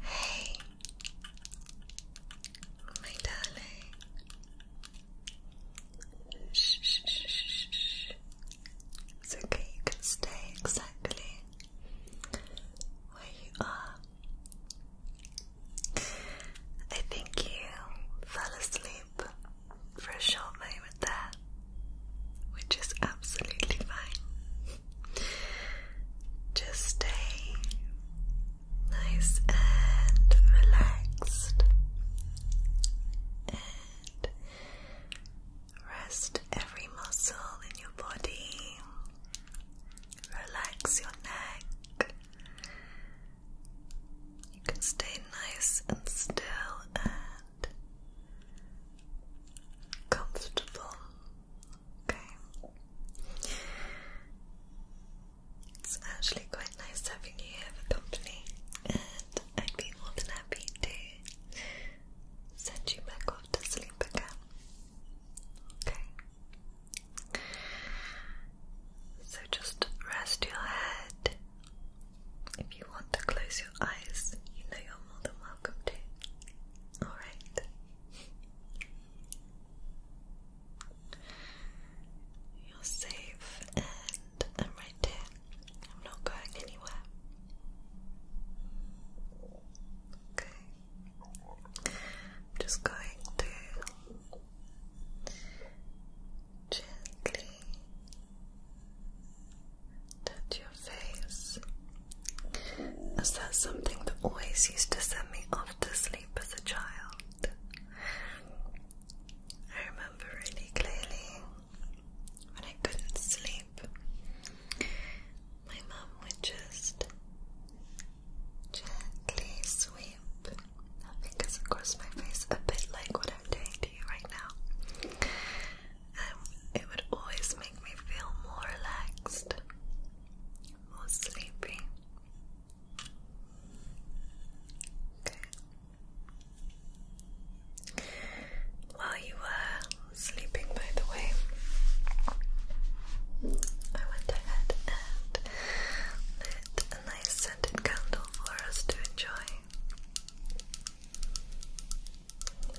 Hey, my darling. Shh, shh, shh, shh, It's okay, you can stay exactly where you are. I think you fell asleep for a short moment there, which is absolutely fine. Just stay nice and relaxed and rest every muscle in your body. Relax your neck. You can stay nice and still and comfortable. Okay. It's actually quite nice having you here for company, and I'd be more than happy to send you back off to sleep again. Okay. So just rest your head if you want to close your eyes, you know you're more than welcome to. Alright. You're safe and I'm right there. I'm not going anywhere. Okay. I'm just going to gently touch your face. Is that something that always used to send me off to sleep as a child? I remember really clearly when I couldn't sleep, my mum would just gently sweep her fingers across my face, a bit like what I'm doing right now. Um, it would always make me feel more relaxed, more sleepy. While you were sleeping, by the way, I went ahead and lit a nice scented candle for us to enjoy.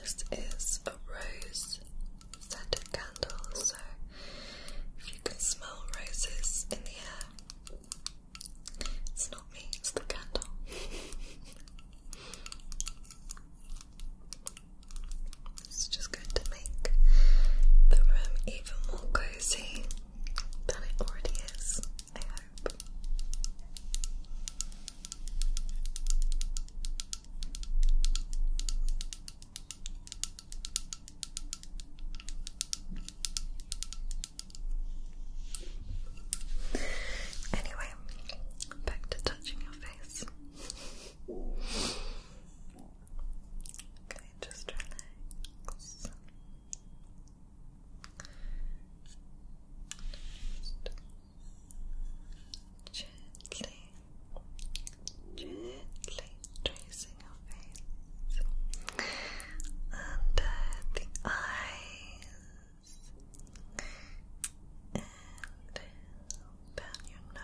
This is a rose scented candle, so if you can smell roses in the air, it's not me, it's the candle. it's just going to make the room even more cozy than it already is, sharp. Anyway, back to touching your face. okay, just relax. Just gently, gently tracing your face under the eyes and down your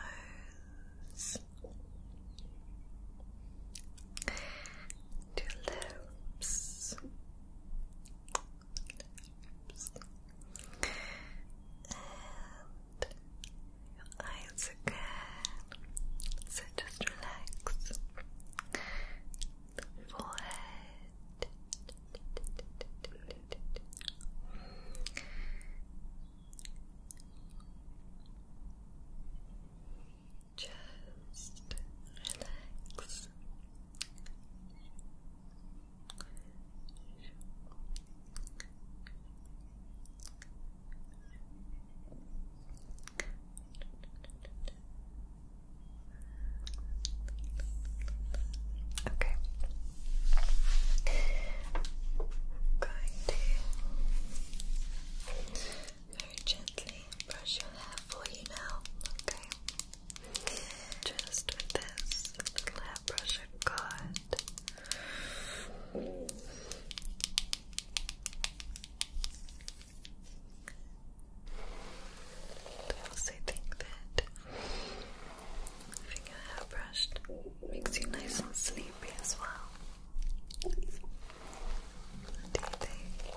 nose to lips your eyes again. So just relax. Forehead. Just relax this. Okay. I'm going to very gently brush your hair for you now, okay? Just this lab brush I've got. I also think that having your hair brushed makes you nice and sleepy as well. What do you think?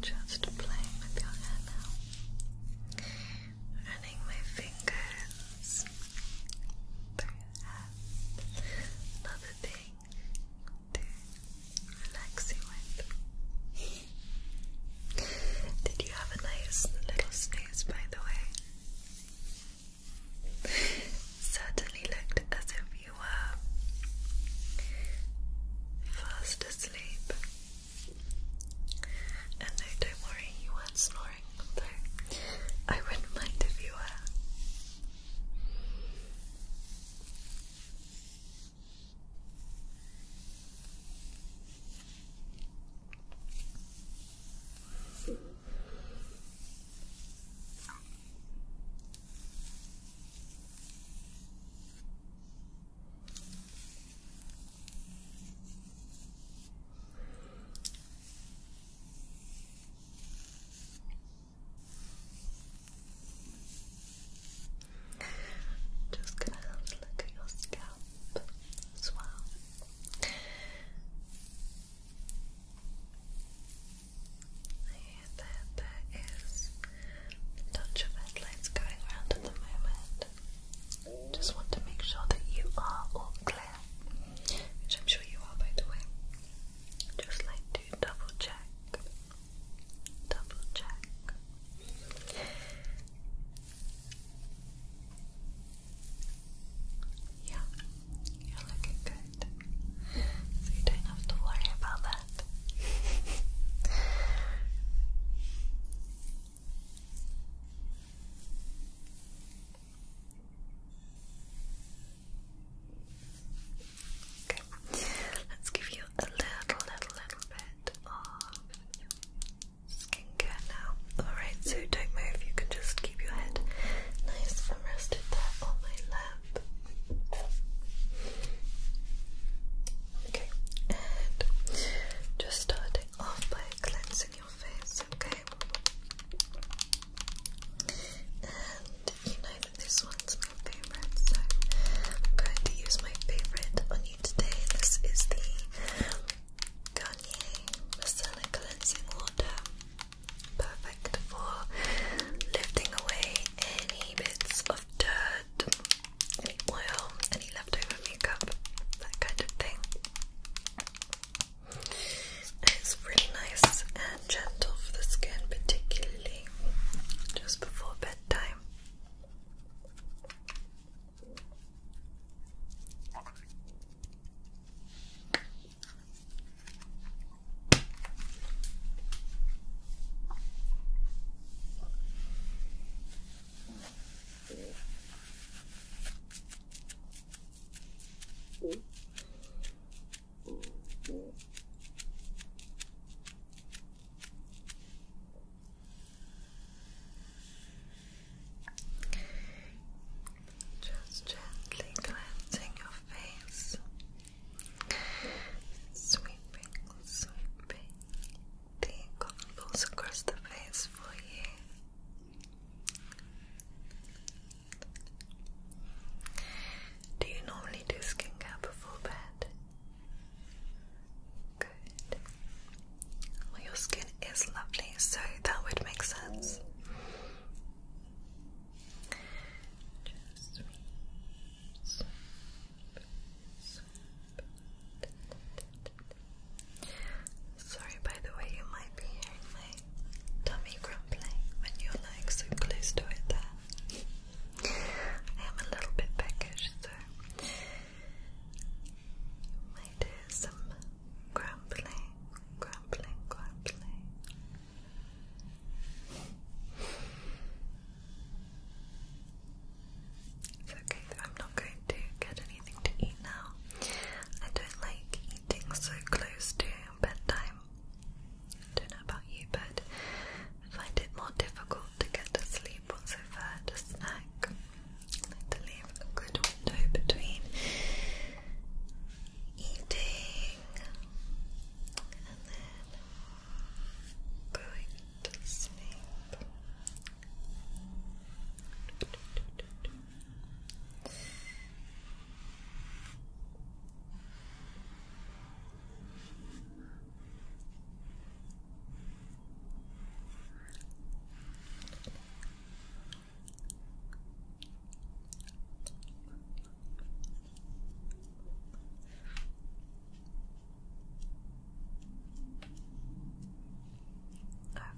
Just playing with your hair now. Running my fingers through your Another thing to relax you with. Did you have a nice little snooze, by the way? Certainly looked as if you were fast asleep. And don't worry, you weren't snoring, I wouldn't mind if you were. Just gonna have a look at your scalp as well. There, there, there is a touch of headlights going around at the moment. Just want to make sure that you are all clear, which I'm sure you are, by the way. Just like to double check, double check. Yeah, you're looking good. So you don't have to worry about that. Okay, let's give you a little, little, little bit of skincare now. Alright, so don't move, you can just keep your head nice and rested there on my lap. Okay, and just starting off by cleansing your face, okay? And you know that this one's my favorite, so I'm going to use my favorite on you today. This is the Garnier Micellar Cleansing Water. Perfect for lifting away any bits of dirt, any oil, any leftover makeup, that kind of thing. it's really nice and gentle for the skin, particularly just before bedtime. Just gently glancing your face. Sweeping, sweeping the columns across the face for you. Do you normally do skin care before bed? Good. Well, your skin is lovely, so that would make sense. Sorry, by the way, you might be hearing my tummy grumbling when you're like so close to it. There, I am a little bit peckish, so you might hear some grumbling, grumbling, grumbling. It's okay I'm not going to get anything to eat now. I don't like eating so close to bedtime. I don't know about you, but I find it more difficult to get to sleep once I've had a snack. like to leave a good window between eating and then going to sleep.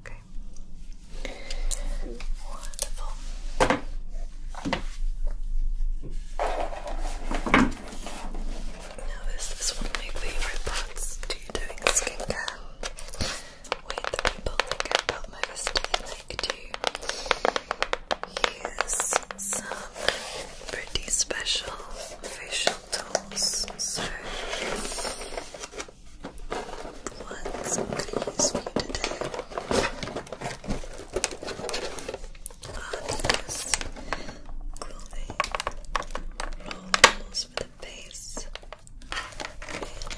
Okay. Wonderful. Now this is one of my favourite parts to doing skincare. When the people think about my visiting like to use some pretty special facial tools. So what I'm gonna use for you today are these clothing rolls for the face.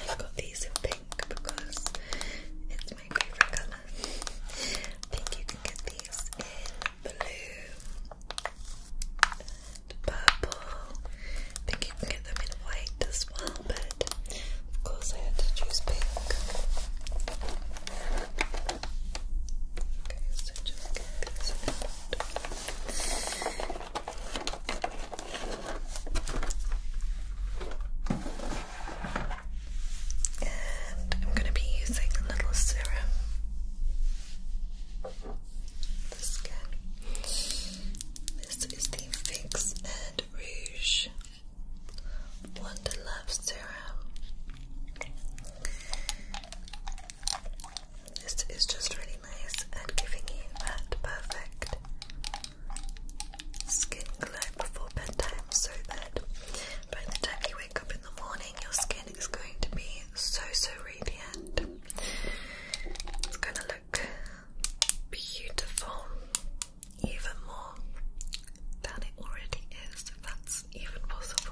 I've got these in pink because to my favorite color. think you can get these in blue and purple. think you can get them in white as well, but of course I had to choose pink. Okay, so just get this and I'm going to be using a little serum. This is the Fix and Rouge Wonder Love Serum. This is just really nice and giving you that perfect skin glow before bedtime so that by the time you wake up in the morning, your skin is going to be so so radiant. It's going to look beautiful, even more than it already is, if that's even possible.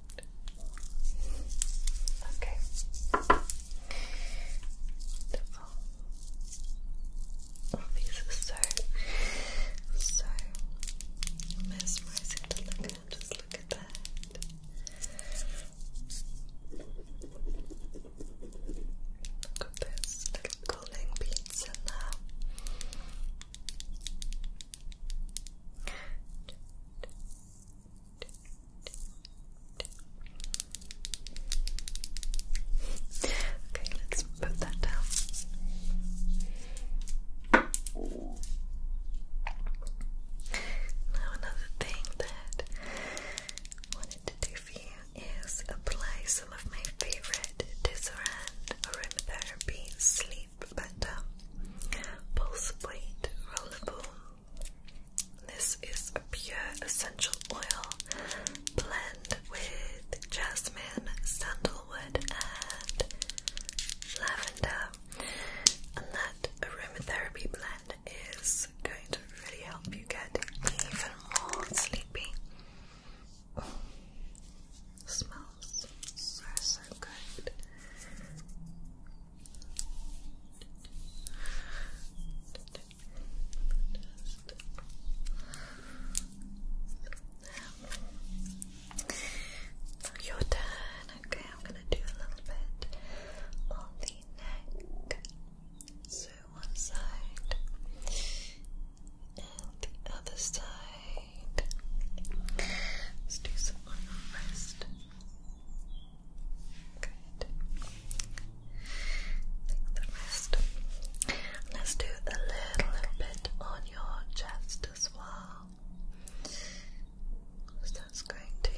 Okay. Wonderful. these are so, so mesmerizing to look at. Just look at that. Look at this little cooling beads in Okay, let's put that down. Now, another thing that I wanted to do for you is apply some of my favorite Disaronn aromatherapy sleep better pulse weight rollerball this is a pure essential oil blend with jasmine, sandalwood, and lavender. And that aromatherapy blend is going to really help you get even more sleepy. smells so so good. Your turn. Okay, I'm gonna do a little bit on the neck. So one side and the other side. Let's do some on the wrist the rest. Let's do a little, bit on your chest as well. So that's going to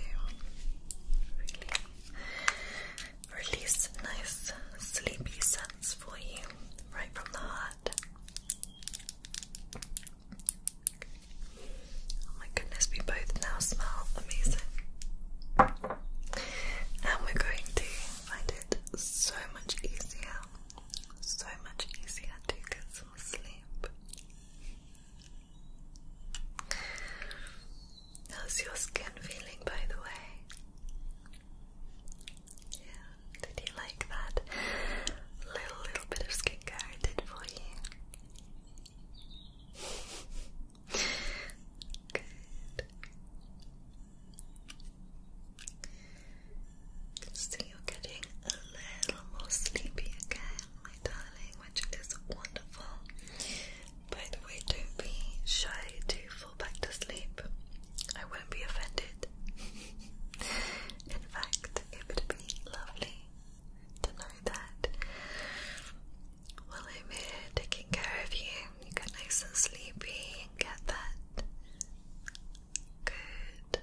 release nice sleepy scents for you right from the heart. Oh my goodness, we both now smell amazing. And we're going to find it so much easier, so much easier to get some sleep. How's your skin feeling, by the way? Yeah, did you like that little little bit of skincare I did for you? Good. I you're getting a little more sleepy again, my darling, which is wonderful. But we don't be shy to fall back to sleep. I won't be offended. In fact, it would be lovely to know that while I'm here taking care of you, you get nice and sleepy and get that good,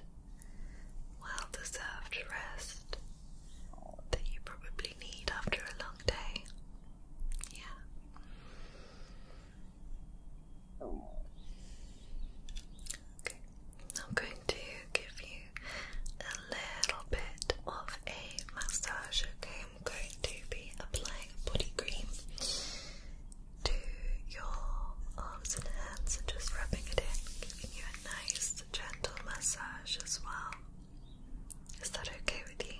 well deserved rest that you probably need after a long day. Yeah. Okay. I'm going to give you a little bit of a massage, okay? I'm going to be applying body cream to your arms and hands and just rubbing it in, giving you a nice gentle massage as well. Is that okay with you?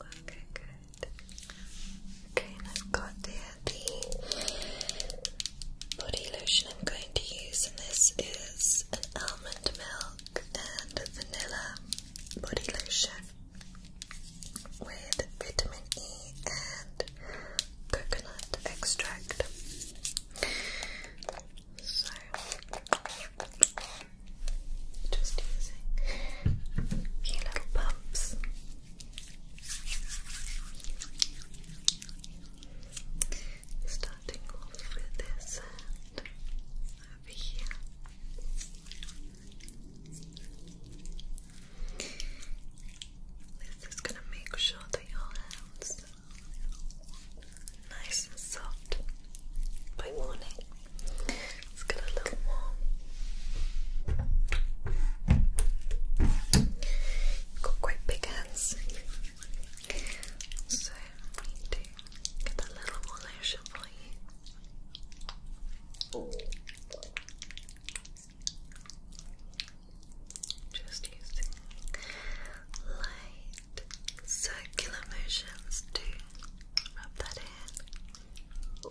Okay, good. Okay, and I've got there the body lotion I'm going to use in this is an almond milk and vanilla body lotion with vitamin E and coconut extract. So just using a few little pumps starting off with this over here. This is going to make sure that your hands nice and soft by morning. Let's a little warm. got quite big hands. So I need get that little more lotion for you. Just using light circular motions to rub that in.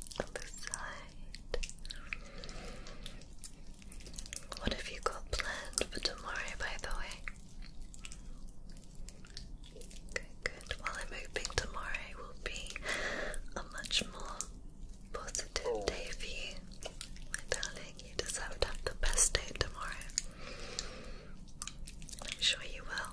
What have you got planned for tomorrow, by the way? Good, good. Well, I'm hoping tomorrow will be a much more positive oh. day for you. My darling, you deserve to have the best day tomorrow. I'm sure you will.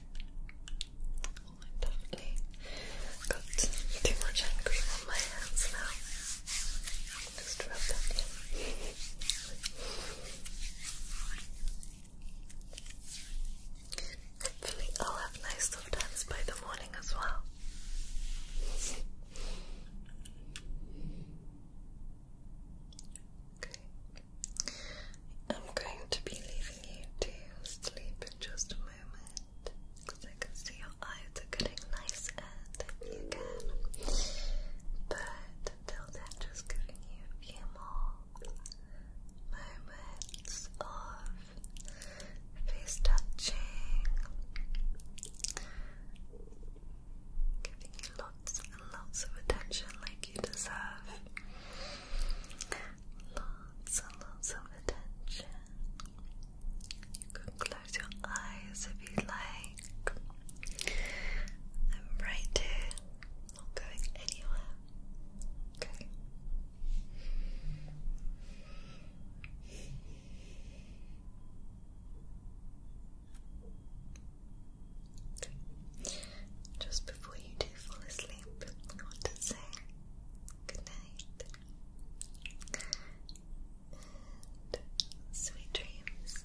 i definitely got too much hand cream on my hands now. Just rub that in. Hopefully, I'll have nice soft hands by the morning as well. I'm going to be leaving you to sleep in just a moment because I can see your eyes are getting nice and you can. But until then, just giving you a few more moments of face touching, giving you lots lots and lots of attention like you deserve. Lots and lots of attention. You can close your eyes if you like. I'm right here, not going anywhere. Okay. Just before you do fall asleep, I want to say good and sweet dreams.